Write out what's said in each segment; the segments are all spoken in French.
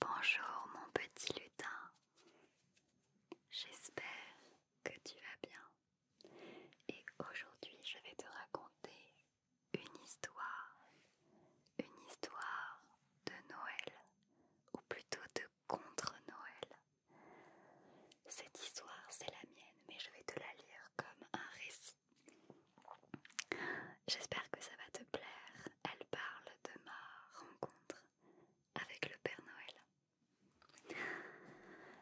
Bonjour mon petit lutin, j'espère que tu vas bien. Et aujourd'hui, je vais te raconter une histoire. Une histoire de Noël, ou plutôt de contre-Noël. Cette histoire, c'est la mienne, mais je vais te la lire comme un récit. J'espère que ça va te plaire. Elle parle de ma rencontre avec le Père Noël.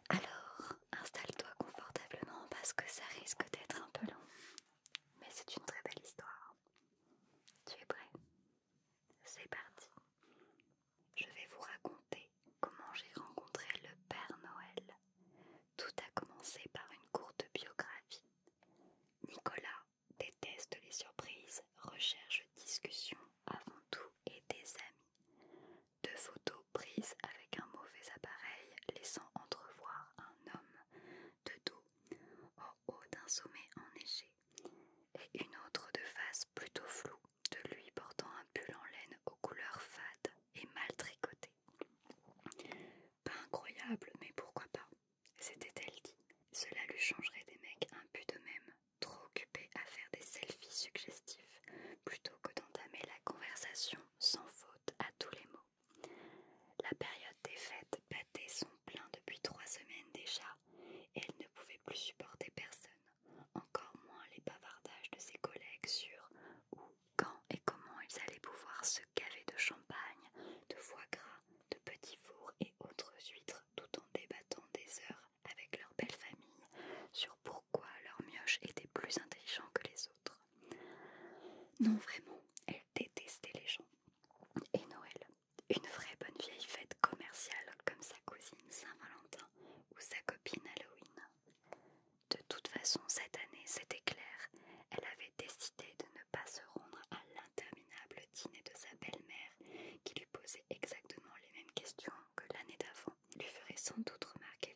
Alors, installe-toi confortablement parce que ça risque d'être un peu long. Mais c'est une très belle histoire. Tu es prêt C'est parti. Je vais vous raconter comment j'ai rencontré le Père Noël. Tout a commencé par une courte biographie. Nicolas déteste les surprises, recherche discussion avant tout et des amis. Deux photos prises avec un mauvais appareil laissant entrevoir un homme de dos au haut d'un sommet enneigé et une autre de face plutôt floue de lui portant un pull en laine aux couleurs fades et mal tricotées. Pas incroyable, mais pourquoi pas c'était elle dit. Cela lui changerait des mecs peu de même, trop occupés à faire des selfies suggestifs plutôt que d'entamer la conversation sans faute à tous les mots. La période des fêtes battait son plein depuis trois semaines déjà, et elle ne pouvait plus supporter personne, encore moins les bavardages de ses collègues sur où, quand et comment ils allaient pouvoir se gaver de champagne, de foie gras, de petits fours et autres huîtres, tout en débattant des heures avec leur belle famille sur pourquoi leurs mioches étaient plus intelligents que les non, vraiment, elle détestait les gens. Et Noël, une vraie bonne vieille fête commerciale comme sa cousine Saint-Valentin ou sa copine Halloween. De toute façon, cette année, c'était clair, elle avait décidé de ne pas se rendre à l'interminable dîner de sa belle-mère qui lui posait exactement les mêmes questions que l'année d'avant, lui ferait sans doute remarquer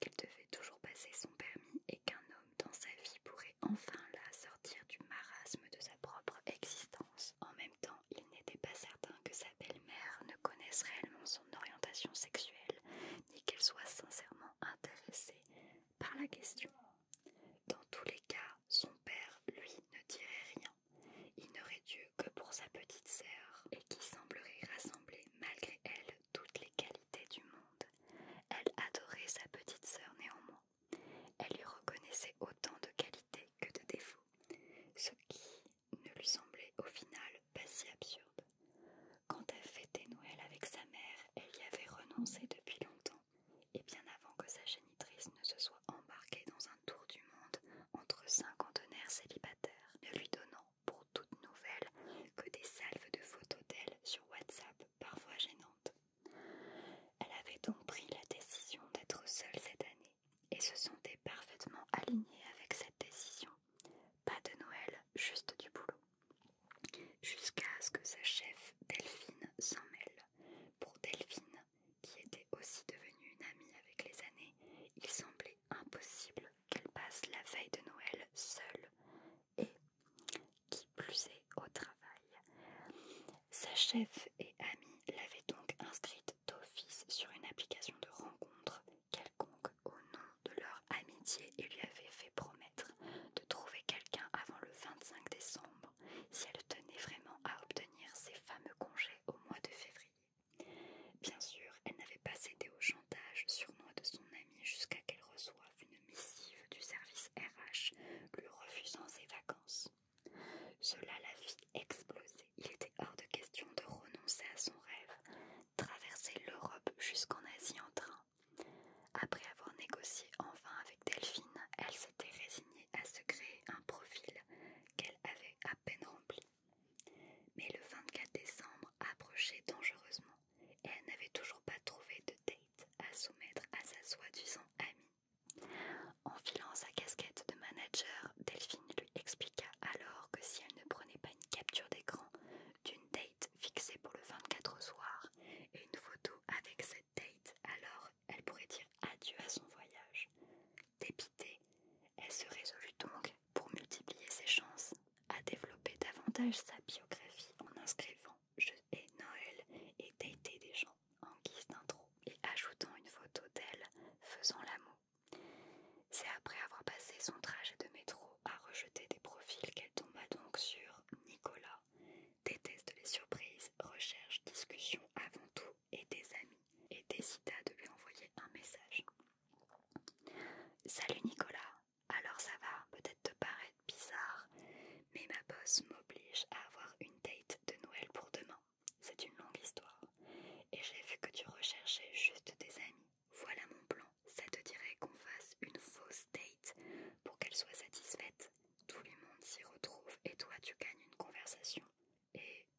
qu'elle devait toujours passer son permis et qu'un homme dans sa vie pourrait enfin la sortir du marasme de sa propre existence. En même temps, il n'était pas certain que sa belle-mère ne connaisse réellement son orientation sexuelle, ni qu'elle soit sincèrement intéressée par la question. Dans tous les cas, son père, lui, ne dirait rien. Il n'aurait Dieu que pour sa petite sœur, et qui semblerait rassembler malgré elle toutes les qualités du monde. Elle adorait sa petite sœur néanmoins. Elle lui reconnaissait autant de qualités que de défauts, ce qui ne lui semblait au final pas si absurde. Quand elle fêtait Noël avec sa mère, elle y avait renoncé depuis longtemps, et bien avant que sa génitrice ne se soit embarquée dans un tour du monde entre cinq célibataires, ne lui donnant pour toute nouvelle que des salves de photos d'elle sur WhatsApp parfois gênantes. Elle avait donc pris la décision d'être seule cette année et se sentait parfaitement alignée avec cette décision. Pas de Noël, juste du boulot. Jusqu'à ce que sa chef Delphine s'en mêle. Pour Delphine, qui était aussi devenue une amie avec les années, il semblait impossible qu'elle passe la veille de Noël seule et, qui plus est, au travail. Sa chef et amie l'avait donc inscrite d'office sur une application de rencontre quelconque au nom de leur amitié et lui avait fait promettre de trouver quelqu'un avant le 25 décembre si elle tenait vraiment à obtenir ses fameux congés au mois de février. Bien sûr, elle n'avait pas cédé au chantage moi de son amie jusqu'à qu'elle reçoive une missive du service RH lui refusant ses vacances. Cela la fit exploser. Il était hors de question de renoncer à son rêve, traverser l'Europe jusqu'en Asie en train. Après avoir négocié enfin avec Delphine, elle s'était résignée à se créer un profil qu'elle avait à peine rempli. Mais le 24 décembre approchait dangereusement et elle n'avait toujours pas trouvé de date à soumettre à sa soi-disant amie. En filant sa casquette de manager, Delphine lui expliqua alors que si elle ne prenait pas une capture d'écran d'une date fixée pour le 24 au soir et une photo avec cette date, alors elle pourrait dire adieu à son voyage. Dépitée, elle se résolut donc pour multiplier ses chances, a développé davantage sa biographie en inscrivant Je et Noël et Dater des gens en guise d'intro et ajoutant une photo d'elle faisant l'amour. C'est après avoir passé son trajet de métro à rejeter des profils qu'elle tomba donc sur Nicolas. Déteste les surprises, recherche, discussion avant tout et des amis, et décida de lui envoyer un message. Salut Nicolas, alors ça va, peut-être te paraître bizarre, mais ma boss m'oblige à avoir une date de Noël pour demain. C'est une longue histoire. Et j'ai vu que tu recherchais juste des amis. Voilà mon plan. Ça te dirait qu'on fasse une fausse date pour qu'elle soit satisfaite. Tout le monde s'y retrouve et toi tu gagnes une conversation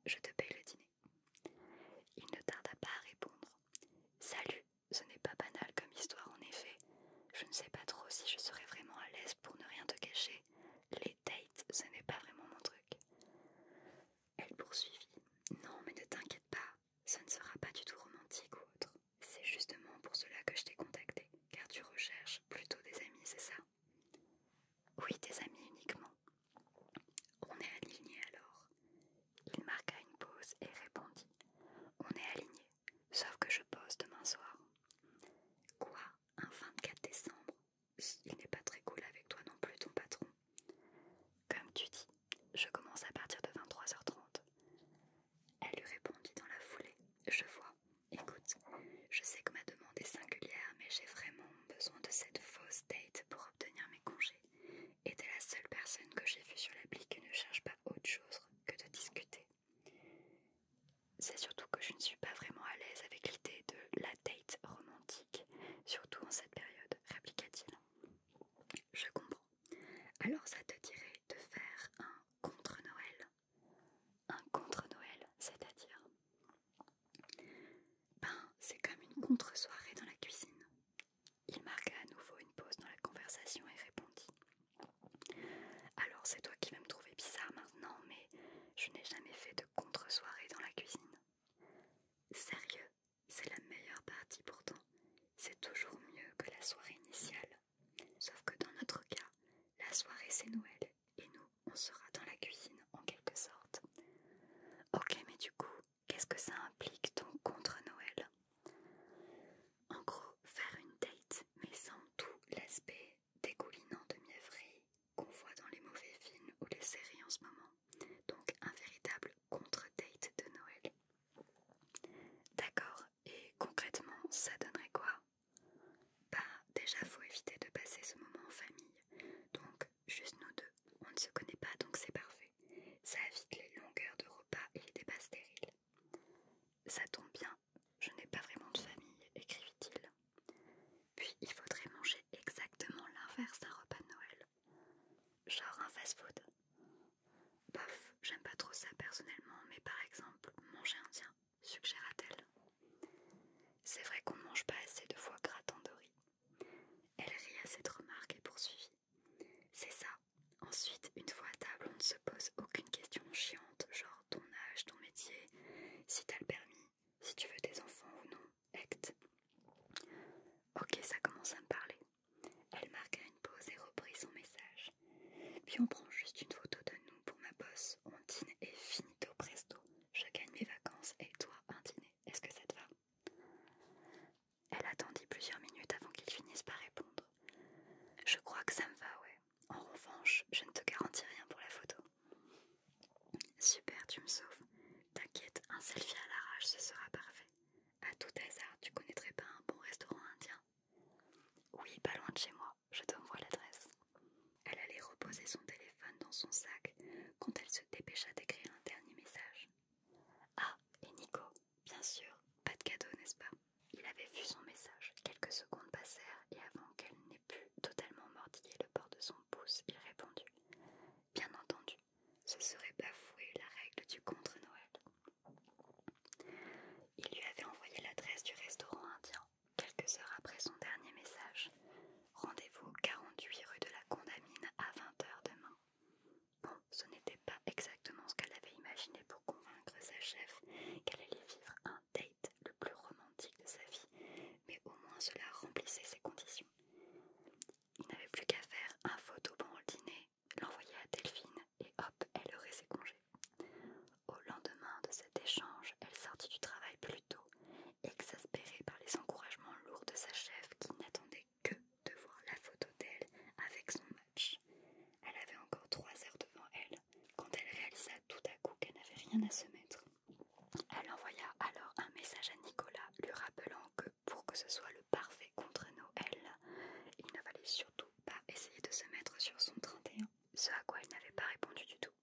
je te paye le dîner. Il ne tarda pas à répondre. Salut, ce n'est pas banal comme histoire en effet. Je ne sais pas trop si je serai vraiment à l'aise pour ne rien te cacher. Les dates, ce n'est pas vraiment mon truc. Elle poursuivit. Non, mais ne t'inquiète pas, ce ne sera pas du tout romantique ou autre. C'est justement pour cela que je t'ai contacté, car tu recherches plutôt des amis, c'est ça Oui, des amis uniquement. On est aligné alors. Il marqua une pause et répondit On est aligné, sauf que je pose demain soir. Quoi Un 24 décembre Il n'est pas très cool avec toi non plus, ton patron. Comme tu dis, je commence à partir de 23h30. Elle lui répondit dans la foulée Je vois. Écoute, je sais que ma demande est singulière, mais j'ai vraiment besoin de cette fausse date pour obtenir mes congés. Et t'es la seule personne que j'ai vue sur l'appli qui ne cherche pas autre chose que de discuter. C'est surtout que je ne suis pas vraiment à l'aise avec l'idée de la date romantique, surtout en cette période, répliqua-t-il. Je comprends. Alors ça te dirait de faire un contre-Noël Un contre-Noël, c'est-à-dire Ben, c'est comme une contre-soirée dans la cuisine. Il marqua à nouveau une pause dans la conversation et répondit Alors c'est toi qui vas me trouver bizarre maintenant, mais je n'ai jamais fait de contre-soirée dans la cuisine. Sérieux, c'est la meilleure partie pourtant. C'est toujours mieux que la soirée initiale. Sauf que dans notre cas, la soirée c'est Noël et nous on sera dans la cuisine en quelque sorte. Ok, mais du coup, Qu'est-ce que ça implique donc contre-Noël En gros, faire une date, mais sans tout l'aspect dégoulinant de mièvrerie qu'on voit dans les mauvais films ou les séries en ce moment. Donc, un véritable contre-date de Noël. D'accord, et concrètement, ça donnerait quoi Bah, déjà, faut éviter de passer ce moment en famille. Donc, juste nous deux. On ne se connaît pas, donc c'est parfait. Ça évite les longueurs de repas et les débats stériles. Ça tombe bien, je n'ai pas vraiment de famille, écrivit-il. Puis il faudrait manger exactement l'inverse d'un repas de Noël. Genre un fast-food. Bof, j'aime pas trop ça personnellement, mais par exemple, manger indien, suggéra-t-elle. C'est vrai qu'on ne mange pas assez de foie de riz elle rit à cette remarque et poursuivit. C'est ça. Ensuite, une fois à table, on ne se pose aucune question chiante, genre ton âge, ton métier, si t'as le permis, si tu veux des enfants ou non, acte. Ok, ça commence à me parler. Elle marqua une pause et reprit son message. Puis on prend juste une photo de nous pour ma bosse, on dîne et finito presto. Je gagne mes vacances et toi un dîner. Est-ce que ça te va elle attendit plusieurs minutes avant qu'il finisse par répondre. Je crois que ça me va, ouais. En revanche, je ne te garantis rien pour la photo. Super, tu me sauves. T'inquiète, un selfie à l'arrache, ce sera parfait. A tout hasard, tu connaîtrais pas un bon restaurant indien Oui, pas loin de chez moi. Je t'envoie l'adresse. Elle allait reposer son téléphone dans son sac quand elle se dépêcha d'écrire un dernier message. Ah, et Nico, bien sûr, pas de cadeau, n'est-ce pas Il avait vu son message. Quelques secondes passèrent et avant qu'elle n'ait pu totalement mordiller le bord de son pouce, il répondit Bien entendu, ce serait bafouer la règle du contre-Noël. Il lui avait envoyé l'adresse du restaurant indien quelques heures après son dernier message, Rendez-vous 48 rue de la Condamine à 20h demain. Bon, ce n'était pas exactement ce qu'elle avait imaginé pour convaincre sa chef qu'elle allait vivre un date le plus romantique de sa vie, mais au moins cela remplissait ses conditions. Il n'avait plus qu'à faire un photo pendant le dîner, l'envoyer à Delphine et hop, elle aurait ses congés. Au lendemain de cet échange, elle sortit du travail plus tôt exaspérée par les encouragements lourds de sa chef qui n'attendait que de voir la photo d'elle avec son match. Elle avait encore trois heures devant elle quand elle réalisa tout à coup qu'elle n'avait rien à se mettre. Elle envoya alors un message à Nicolas lui rappelant que pour que ce soit le parfait contre Noël, il ne fallait surtout pas essayer de se mettre sur son 31, ce à quoi il n'avait pas répondu du tout.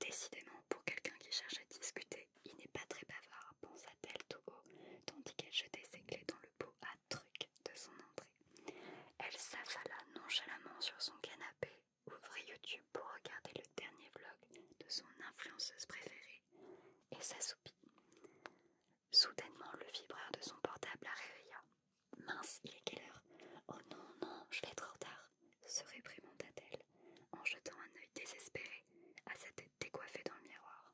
Décidément, pour quelqu'un qui cherche à discuter, il n'est pas très bavard, pensa-t-elle tout haut, tandis qu'elle jetait ses clés dans le pot à truc de son entrée. Elle s'affala nonchalamment sur son canapé, ouvrit YouTube pour regarder le dernier vlog de son influenceuse préférée et s'assoupit. Soudainement, le vibreur de son portable la réveilla. Mince, il est quelle heure Oh non, non, je vais trop tard, se réprimanda-t-elle en jetant un œil désespéré à sa tête décoiffée dans le miroir.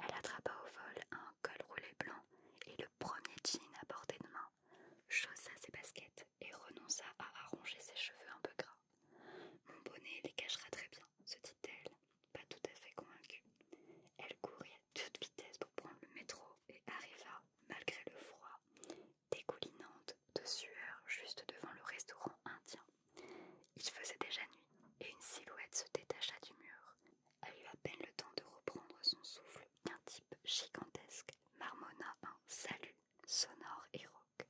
Elle attrapa au vol un col roulé blanc et le premier jean à portée de main, chaussa ses baskets et renonça à arranger ses cheveux un peu gras. Mon bonnet les cachera très bien, se dit-elle, pas tout à fait convaincue. Elle courut à toute vitesse pour prendre le métro et arriva, malgré le froid, dégoulinante de sueur juste devant le restaurant indien. Il faisait déjà nuit et une silhouette se détacha du mur. Elle eut à peine le temps de reprendre son souffle qu'un type gigantesque marmonna un salut sonore et rauque.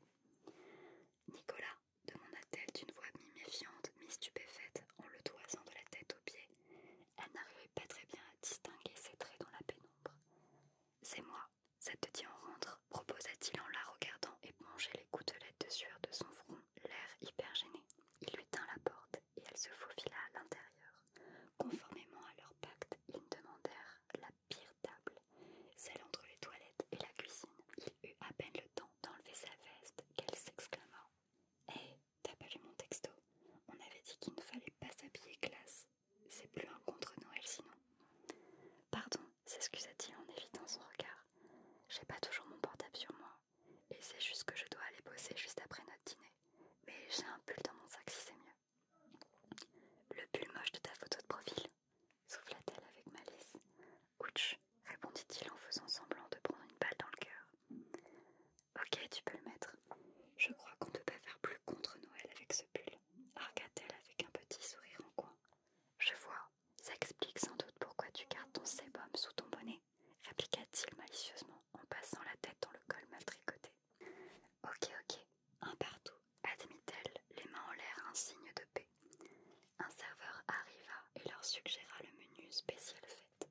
Nicolas, demanda-t-elle d'une voix mi-méfiante, mi-stupéfaite, en le toisant de la tête aux pieds. Elle n'arrivait pas très bien à distinguer ses traits dans la pénombre. C'est moi, ça te dit en rentre proposa-t-il en la regardant éponger les gouttelettes de sueur de son front, l'air hyper gêné. Il lui tint la porte et elle se faufila à l'intérieur. Conformément à leur pacte, ils demandèrent la pire table, celle entre les toilettes et la cuisine. Il eut à peine le temps d'enlever sa veste qu'elle s'exclama Hé, eh, t'as pas lu mon texto On avait dit qu'il ne fallait pas s'habiller classe. C'est plus un contre-Noël sinon. Pardon, s'excusa-t-il en évitant son regard. J'ai pas toujours mon portable sur moi. Et c'est juste que je dois aller bosser juste après notre dîner. Mais j'ai un pull dans mon sac si c'est mieux. Le pull moche de ta photo de profil souffla-t-elle avec malice. Ouch, répondit-il en faisant semblant de prendre une balle dans le cœur. Ok, tu peux le mettre. Je crois qu'on ne peut pas faire plus contre Noël avec ce pull argua t elle avec un petit sourire en coin. Je vois, ça explique sans doute pourquoi tu gardes ton sébum sous ton bonnet, répliqua-t-il malicieusement en passant la tête dans le col mal tricoté. Ok, ok, un partout, admit-elle, les mains en l'air, un signe de paix. Un serveur arriva et leur suggéra le menu spécial fête.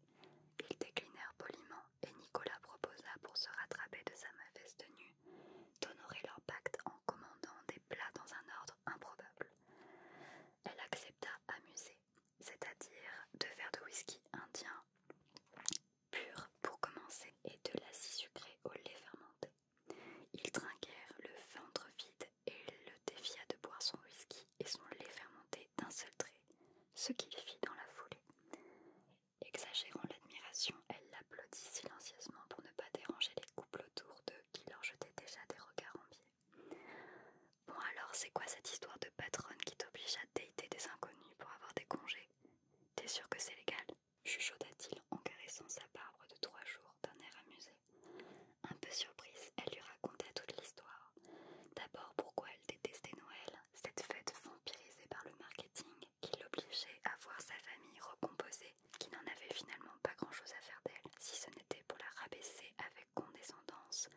Ils déclinèrent poliment et Nicolas proposa pour se rattraper de sa mauvaise tenue d'honorer leur pacte en commandant des plats dans un ordre improbable. Elle accepta amuser c'est-à-dire de verres de whisky indien pur pour commencer et de l'acide sucré au lait fermenté. Ils trinquèrent le ventre vide et le défia de boire son whisky et son lait fermenté d'un seul trait, ce qu'il fit dans la foulée. Exagérant l'admiration, elle applaudit silencieusement pour ne pas déranger les couples autour d'eux qui leur jetaient déjà des regards en biais. « Bon alors, c'est quoi cette histoire de patronne qui t'oblige à dater des inconnus pour avoir des congés T'es sûr que c'est légal chuchota-t-il en caressant sa barbe de trois jours d'un air amusé. Un peu surprise, elle lui raconta toute l'histoire. D'abord pourquoi elle détestait Noël, cette fête vampirisée par le marketing, qui l'obligeait à voir sa famille recomposée, qui n'en avait finalement pas grand-chose à faire d'elle, si ce n'était pour la rabaisser avec condescendance,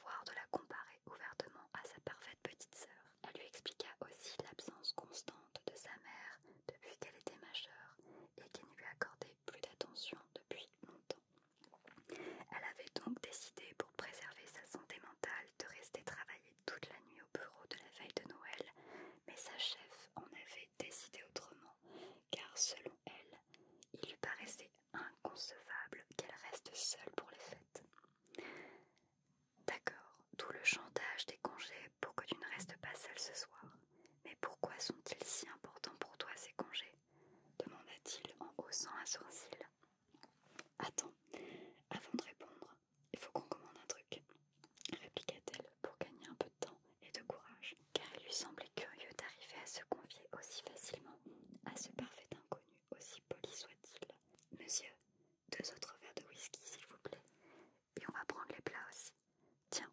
voire de la comparer ouvertement à sa parfaite petite sœur. Elle lui expliqua aussi l'absence constante de sa mère depuis qu'elle était majeure et qui ne lui accordait plus d'attention depuis longtemps. Elle avait donc décidé pour préserver sa santé mentale de rester travailler toute la nuit au bureau de la veille de Noël, mais sa chef en avait décidé autrement, car selon elle, il lui paraissait inconcevable qu'elle reste seule pour les fêtes. D'accord, tout le chantage des congés pour que tu ne restes pas seule ce soir. Mais pourquoi sont-ils si importants pour toi ces congés demanda-t-il en haussant un sourcil. Attends, avant de répondre, il faut qu'on commande un truc, répliqua-t-elle pour gagner un peu de temps et de courage, car il lui semblait curieux d'arriver à se confier aussi facilement à ce parfait inconnu, aussi poli soit-il. Monsieur, deux autres verres de whisky, s'il vous plaît, et on va prendre les plats aussi. Tiens,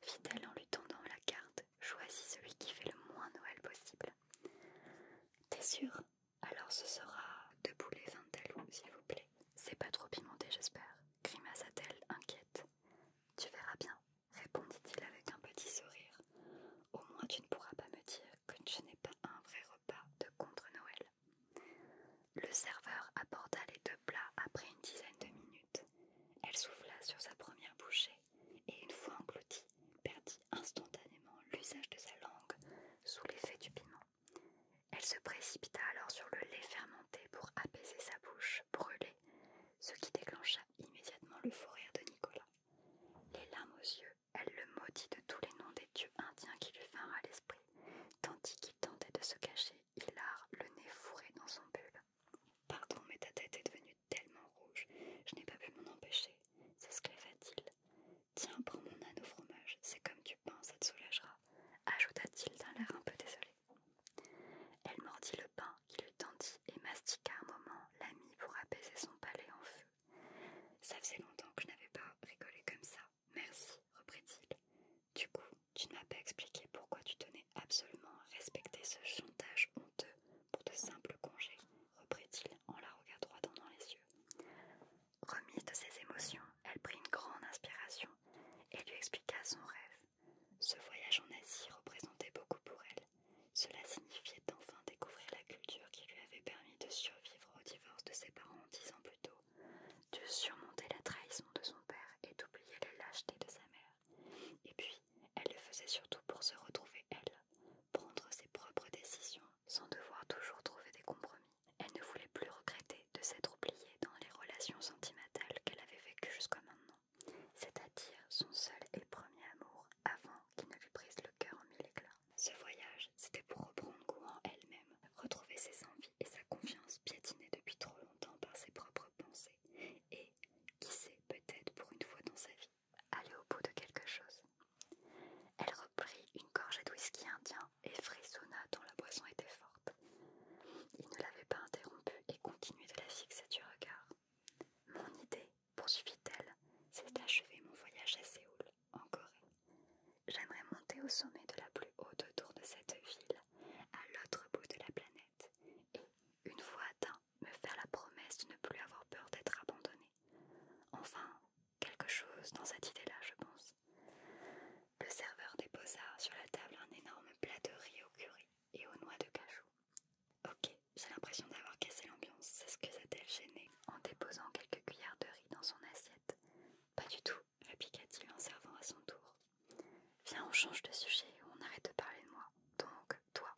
fit-elle en lui tendant la carte, choisis celui qui fait le moins Noël possible. T'es sûr Alors ce sera deux boulets vindalous, s'il vous plaît. C'est pas trop pimenté, j'espère, grimaça-t-elle inquiète. Tu verras bien, répondit-il avec un petit sourire. Au moins tu ne pourras pas me dire que tu n'ai pas un vrai repas de contre-Noël. Le serveur apporta les deux plats après une dizaine de minutes. Elle souffla sur sa première bouchée et, une fois engloutie, perdit instantanément l'usage de sa langue sous l'effet du piment. Elle se précipita alors sur le lait fermenté pour apaiser sa bouche brûlée, ce qui déclencha immédiatement le fou rire de Nicolas. Les larmes aux yeux, elle le maudit de tous les noms des dieux indiens qui lui vinrent à l'esprit, tandis qu'il tentait de se cacher, Hilar, le nez fourré dans son bulle. « Pardon, mais ta tête est devenue tellement rouge, je n'ai pas pu m'en empêcher, s'esclava-t-il. Tiens, prends mon âne au fromage, c'est comme du pain, ça te soulagera ajouta-t-il d'un air un peu désolé. Elle mordit le pain qui lui tendit et mastiqua un moment l'ami pour apaiser son palais en feu. Ça faisait longtemps que je n'avais pas rigolé comme ça. Merci, reprit-il. Du coup, tu ne m'as pas expliqué pourquoi tu tenais absolument à respecter ce chantage honteux pour de simples congés, reprit-il en la regardant droit dans les yeux. Remise de ses émotions, elle prit une grande inspiration et lui expliqua son rêve. Ce voyage en Asie représentait beaucoup pour elle. Cela signifiait enfin découvrir la culture qui lui avait permis de survivre au divorce de ses parents dix ans plus tôt, de surmonter la trahison de son père et d'oublier la lâcheté de sa mère. Et puis, elle le faisait surtout pour se retrouver elle, prendre ses propres décisions sans devoir toujours trouver des compromis. Elle ne voulait plus regretter de s'être oubliée dans les relations sentimentales qu'elle avait vécues jusqu'à maintenant, c'est-à-dire son seul et premier amour avant qu'il ne lui brise le cœur en mille éclats. Ce voyage, c'était pour reprendre goût en elle-même, retrouver ses envies et sa confiance piétinée depuis trop longtemps par ses propres pensées, et, qui sait, peut-être pour une fois dans sa vie, aller au bout de quelque chose. Elle reprit une gorgée de whisky indien et frissonna dont la boisson était forte. Il ne l'avait pas interrompue et continuait de la fixer du regard. Mon idée, poursuivit-elle, c'est d'achever mon voyage à Séoul, en Corée. J'aimerais monter au sommet de la plus haute tour de cette ville, à l'autre bout de la planète, et, une fois atteint, me faire la promesse de ne plus avoir peur d'être abandonné. Enfin, quelque chose dans cette idée-là, je pense. Le serveur déposa sur la table un énorme plat de riz au curry et aux noix de cajou. Ok, j'ai l'impression d'avoir cassé l'ambiance, c'est que ça elle gêné. en déposant quelques cuillères de riz dans son assiette. Pas du tout, répliqua-t-il en servant à son tour. Viens, on change de sujet, on arrête de parler de moi. Donc, toi,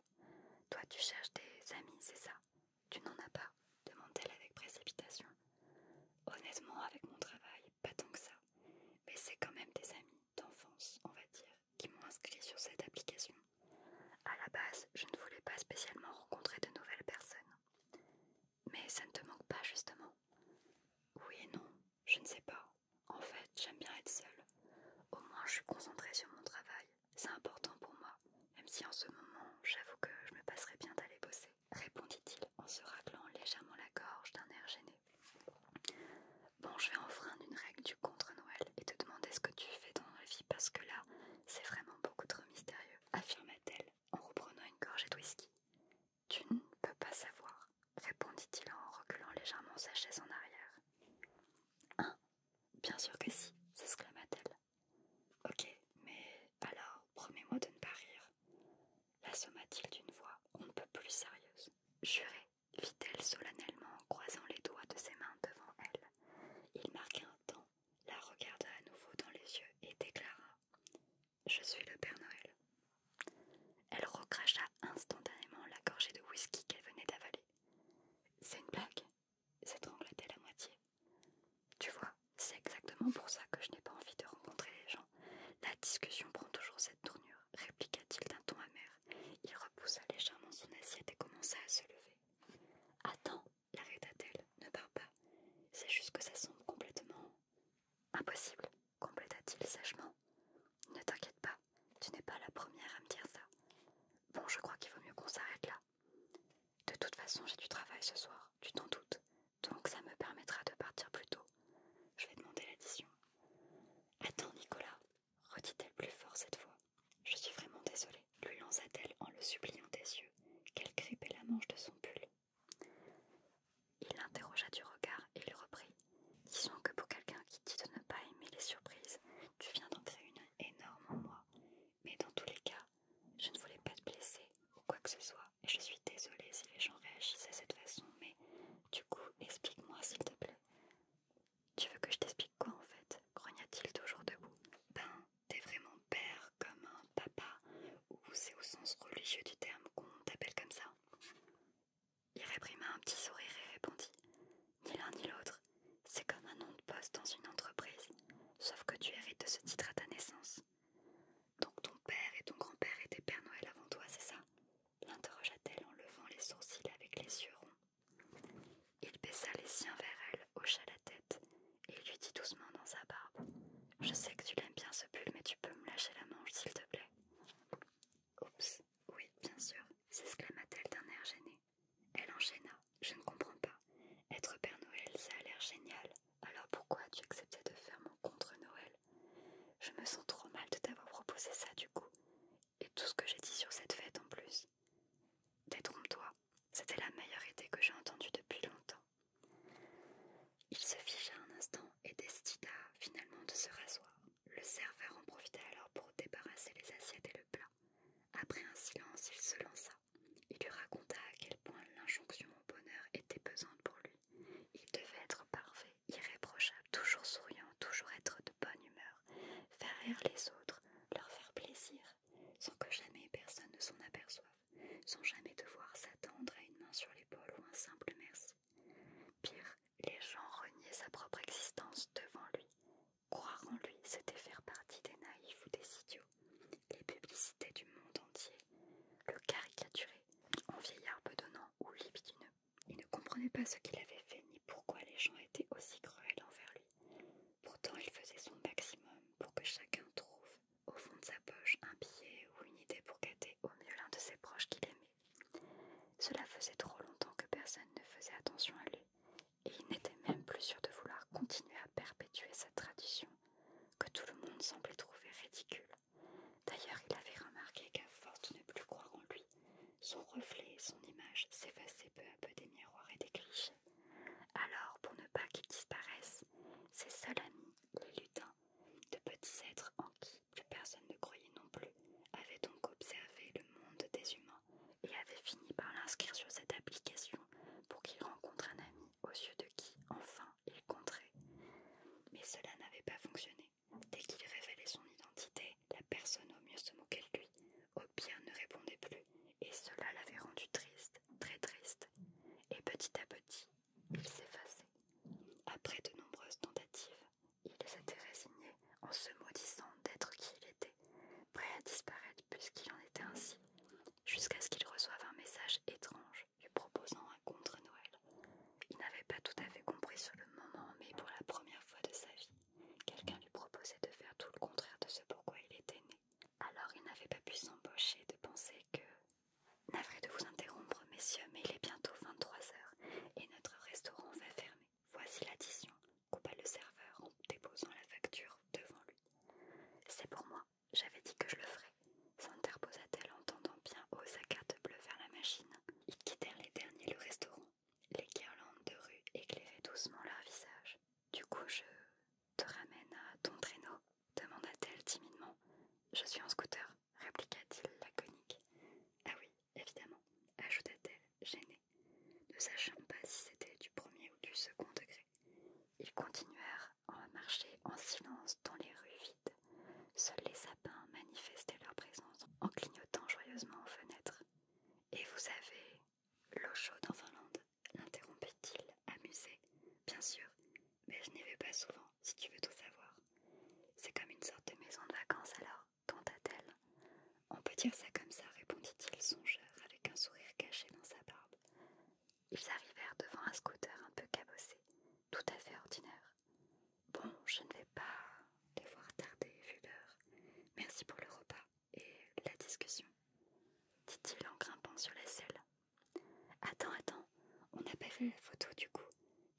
toi tu cherches des amis, c'est ça Tu n'en as pas demande-t-elle avec précipitation. Honnêtement, avec mon travail, pas tant que ça. Mais c'est quand même des amis d'enfance, on va dire, qui m'ont inscrit sur cette application. À la base, je ne voulais pas spécialement rencontrer de nouvelles personnes. Mais ça ne te manque pas, justement Oui et non, je ne sais pas. En fait, j'aime bien être seule. Au moins, je suis concentrée sur mon travail. C'est important pour moi, même si en ce moment, j'avoue que je me passerais bien d'aller bosser répondit-il en se raclant légèrement la gorge d'un air gêné. Bon, je vais enfreindre une règle du contre-Noël et te demander ce que tu fais dans la vie parce que là, c'est vraiment beaucoup trop mystérieux, affirma-t-elle en reprenant une gorgée de whisky. Tu ne peux pas savoir, répondit-il en reculant légèrement sa chaise en arrière. Hein Bien sûr que si, s'exclama-t-elle. Ok, mais alors, promets-moi de ne pas rire l'assomma-t-il d'une voix on ne peut plus sérieuse. Jurez, fit-elle solennellement en croisant les doigts de ses mains devant elle. Il marqua un temps, la regarda à nouveau dans les yeux et déclara Je suis le Père Noël. Elle recracha instantanément la gorgée de whisky qu'elle venait d'avaler. C'est une blague cette t elle la moitié. Tu vois, c'est exactement pour ça que je n'ai pas envie de rencontrer les gens. La discussion prend toujours cette tournure, répliqua-t-il d'un ton amer. Il repoussa légèrement son assiette et commença à se lever. Attends, l'arrêta-t-elle, ne parle pas. C'est juste que ça semble complètement. Impossible, compléta-t-il sèchement. Ne t'inquiète pas, tu n'es pas la première à me dire ça. Bon, je crois qu'il vaut mieux qu'on s'arrête là. De toute façon, j'ai du travail ce soir, tu t'en doutes donc ça me permettra de partir plus tôt. Je vais demander l'addition. Attends, Nicolas, redit-elle plus fort cette fois. Je suis vraiment désolée, lui lança-t-elle en le suppliant des yeux, qu'elle grippait la manche de son pull. Il l'interrogea du regard et lui reprit. Disons que pour quelqu'un qui dit de ne pas aimer les surprises, tu viens d'entrer une énorme en moi. Mais dans tous les cas, je ne voulais pas te blesser ou quoi que ce soit et je suis désolée si les gens réagissaient de cette façon, mais du coup, explique-moi s'il te plaît. Tu veux que je t'explique quoi en fait grogna-t-il toujours debout. Ben, t'es vraiment père comme un papa, ou c'est au sens religieux du terme qu'on t'appelle comme ça Il réprima un petit sourire et répondit Ni l'un ni l'autre, c'est comme un nom de poste dans une entreprise, sauf que tu hérites de ce titre à ta naissance. Donc ton père et ton grand-père étaient Père Noël avant toi, c'est ça l'interrogea-t-elle en levant les sourcils avec les yeux ronds. Il baissa les siens vers elle, hocha la tête et lui dit doucement dans sa barbe Je sais que tu l'aimes bien ce pull, mais tu peux me lâcher la manche, s'il te plaît. Oups, oui, bien sûr, s'exclama-t-elle d'un air gêné. Elle enchaîna Je ne comprends pas. Être Père Noël, ça a l'air génial. Alors pourquoi as-tu accepté de faire mon contre-Noël Je me sens trop mal de t'avoir proposé ça du coup, et tout ce que j'ai dit sur cette fête en plus. Détrompe-toi, c'était la meilleure idée que j'ai entendue depuis longtemps. Il se figea un instant et décida finalement de se rasseoir. Le serveur en profita alors pour débarrasser les assiettes et le plat. Après un silence, il se lança il lui raconta à quel point l'injonction au bonheur était pesante pour lui. Il devait être parfait, irréprochable, toujours souriant, toujours être de bonne humeur, faire rire les autres, leur faire plaisir, sans que jamais personne ne s'en aperçoive, sans jamais devoir s'attendre à une main sur l'épaule ou un simple merci. Pire, les gens reniaient sa propre existence devant lui. Croire en lui, c'était faire partie des naïfs ou des idiots. Les publicités du monde entier le caricaturé en vieillard bedonnant ou libidineux. Il ne comprenait pas ce qu'il avait fait ni pourquoi les gens étaient aussi cruels envers lui. Pourtant, il faisait son maximum pour que chacun trouve au fond de sa poche un billet ou une idée pour gâter au mieux l'un de ses proches qu'il aimait. Cela faisait trop longtemps que personne ne faisait attention à lui, et il n'était même plus sûr de vouloir continuer à perpétuer sa tradition que tout le monde semblait trouver ridicule. D'ailleurs, il avait remarqué qu'à force de ne plus croire en lui, son reflet et son image s'effaçaient peu à peu des miroirs et des clichés. Alors, pour ne pas qu'il disparaisse ses seuls amis, les lutins, de petits êtres en qui plus personne ne croyait non plus, avaient donc observé le monde des humains et avaient fini par l'inscrire sur cette application pour qu'il rencontre un ami aux yeux de qui, enfin, il compterait. Mais cela n'avait pas fonctionné. Dès qu'il révélait son identité, la personne au mieux se moquait de lui, au pire ne répondait plus, et cela l'avait rendu triste, très triste. Et petit à petit, il s'effaçait. Après de nombreuses tentatives, il s'était résigné en se maudissant d'être qui il était, prêt à disparaître puisqu'il en était ainsi, jusqu'à ce qu'il reçoive un message étrange lui proposant un contre Noël. Il n'avait pas tout à fait compris sur le moment, mais pour la première fois de sa vie, quelqu'un lui proposait de faire tout le contraire de ce pourquoi il était né. Alors il n'avait pas pu s'embaucher de penser que... Navré de vous interrompre, messieurs, mais il est bientôt 23h et notre restaurant va fermer. Voici l'addition, coupa le serveur en déposant la facture devant lui. C'est pour moi, j'avais dit que je le ferais, s'interposa-t-elle en tendant bien haut sa carte bleue vers la machine. Ils quittèrent les derniers le restaurant. Les guirlandes de rue éclairaient doucement leur visage. Du coup, je te ramène à ton traîneau demanda-t-elle timidement. Je suis en scooter, répliqua-t-il laconique. Ah oui, évidemment, ajouta-t-elle, gênée, ne sachant pas si c'était du premier ou du second degré. Ils continuèrent on marchait en silence dans les rues vides. Seuls les sapins manifestaient leur présence en clignotant joyeusement aux fenêtres. Et vous avez l'eau chaude en Finlande l'interrompit-il, amusé. Bien sûr, mais je n'y vais pas souvent, si tu veux tout savoir. C'est comme une sorte de maison de vacances alors, tenta-t-elle. On peut dire ça comme ça, répondit-il songeur avec un sourire caché dans sa barbe ils arrivèrent devant un scooter un peu cabossé, tout à fait ordinaire. Bon, je ne vais pas devoir voir tarder vu l'heure. Merci pour le repas et la discussion, dit-il en grimpant sur la selle. Attends, attends, on n'a pas vu la photo du coup.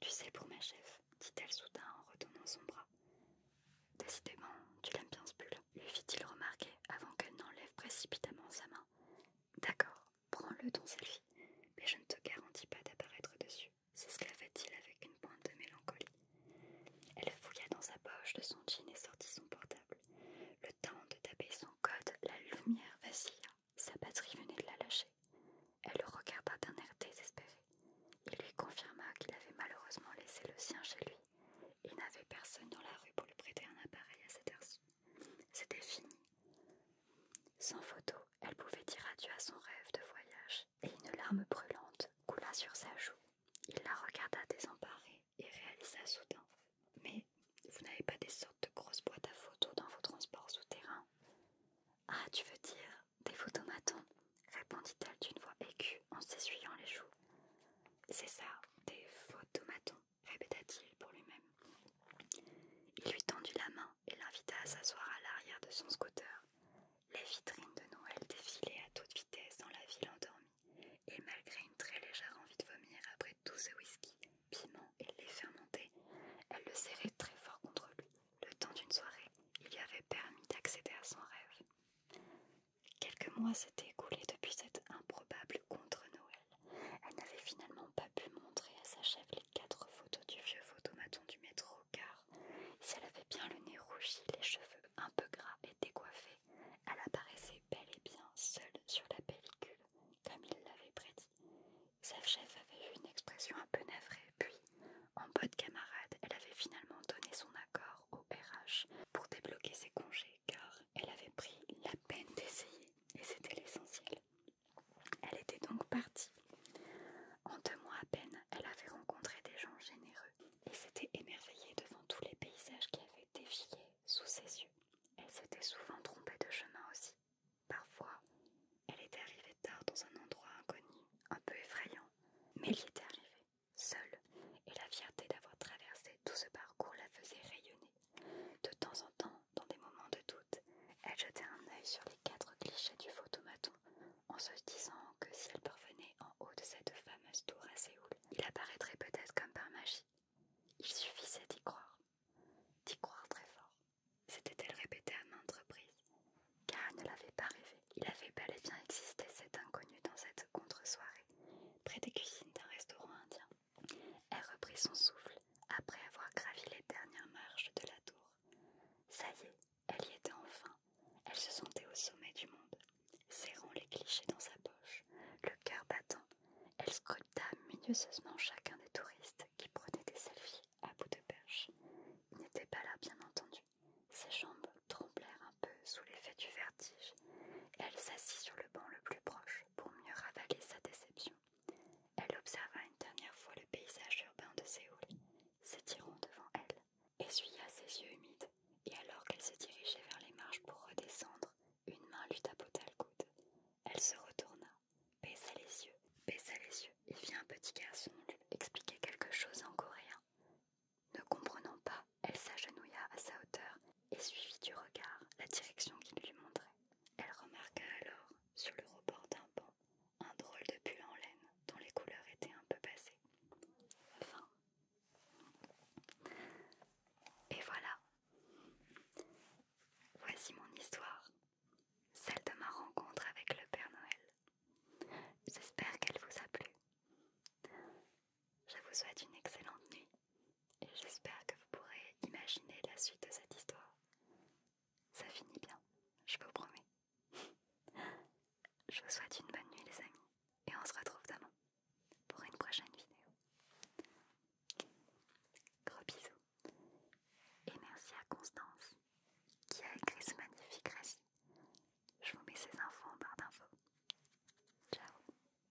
Tu sais pour ma chef, dit-elle soudain en retournant son bras. Décidément, tu l'aimes bien ce pull, lui fit-il remarquer avant qu'elle n'enlève précipitamment sa main. D'accord, prends-le ton selfie, mais je ne te garantis pas d'apparaître dessus, s'esclava-t-il avec une pointe de mélancolie. Elle fouilla dans sa poche de son jean et sortit son portable. Le temps de taper son code, la lumière vacilla, sa batterie venait de la lâcher. Elle le regarda d'un air désespéré. Il lui confirma qu'il avait malheureusement laissé le sien chez lui. Il n'avait personne dans la rue pour lui prêter un appareil à cette heure-ci. C'était fini. Sans photo, elle pouvait dire adieu à son rêve de voyage, et une larme brûlante coula sur sa joue. Il la regarda désemparée et réalisa soudain Mais vous n'avez pas des sortes de grosses boîtes à photos dans vos transports souterrains Ah, tu veux dire des photomatons répondit-elle d'une voix aiguë en s'essuyant les joues. C'est ça, des photomatons répéta-t-il pour lui-même. Il lui tendit la main et l'invita à s'asseoir à l'arrière de son scooter. Les vitrines de Noël défilaient à toute vitesse dans la ville endormie, et malgré une très légère envie de vomir après tout ce whisky, piment et lait fermenté, elle le serrait très fort contre lui. Le temps d'une soirée, il lui avait permis d'accéder à son rêve. Quelques mois s'étaient écoulés depuis cette improbable contre-Noël. Elle n'avait finalement pas pu montrer à sa chef les quatre photos du vieux photomaton du métro, car si elle avait bien le nez rougi, les cheveux un peu gras et décoiffés, elle apparaissait bel et bien seule sur la pellicule, comme il l'avait prédit. Sa chef avait eu une expression un peu navrée, puis, en de camarade, elle avait finalement donné son accord au RH pour débloquer ses congés, car elle avait pris la peine d'essayer et c'était l'essentiel. Elle était donc partie. En deux mois à peine, elle avait rencontré des gens généreux et s'était émerveillée devant tous les paysages qui avaient défié sous ses yeux. Elle s'était souvent trompée de chemin aussi. Parfois, elle était arrivée tard dans un endroit inconnu, un peu effrayant, mais elle y était arrivée, seule, et la fierté d'avoir traversé tout ce parcours la faisait rayonner. De temps en temps, dans des moments de doute, elle jetait un œil sur les quatre clichés du photomaton en se disant que si elle parvenait en haut de cette fameuse tour à Séoul, il apparaîtrait peut-être comme par magie. Il suffisait d'y croire, d'y croire très fort. c'était elle répétée à maintes reprises, car elle ne l'avait pas rêvé. Il avait bel et bien existé cet inconnu dans cette contre-soirée, près des cuisines d'un restaurant indien. Elle reprit son souffle après avoir gravi les dernières marches de la tour. Ça y est, elle y était enfin. Elle se sentait au sommet du monde. Serrant les clichés dans sa poche, le cœur battant, elle scruta minutieusement chacun des touristes qui prenaient des selfies à bout de perche. Il n'était pas là, bien entendu. Ses jambes tremblèrent un peu sous l'effet du vertige. Elle s'assit sur le banc le plus proche, pour mieux ravaler sa déception. Elle observa une dernière fois le paysage urbain de Séoul, s'étirant devant elle, essuya ses yeux humides, et alors qu'elle se dirigeait vers les marches pour redescendre, une main lui tapota le coude. Elle se retourna, baissa les yeux, baissa les yeux, et vit un petit garçon lui expliquer quelque chose en coréen. Ne comprenant pas, elle s'agenouilla à sa hauteur et suivit du regard la direction qu'il lui montrait. Elle remarqua alors, sur le rebord d'un banc, un drôle de pull en laine dont les couleurs étaient un peu passées. Et voilà. Voici mon histoire, celle de ma rencontre avec le Père Noël. J'espère qu'elle vous a plu. Je vous souhaite une excellente nuit et j'espère que vous pourrez imaginer la suite de cette histoire. Ça finit bien, je vous promets. je vous souhaite une bonne nuit les amis et on se retrouve demain pour une prochaine vidéo. Gros bisous et merci à Constance qui a écrit ce magnifique récit. Je vous mets ces infos en barre d'infos. Ciao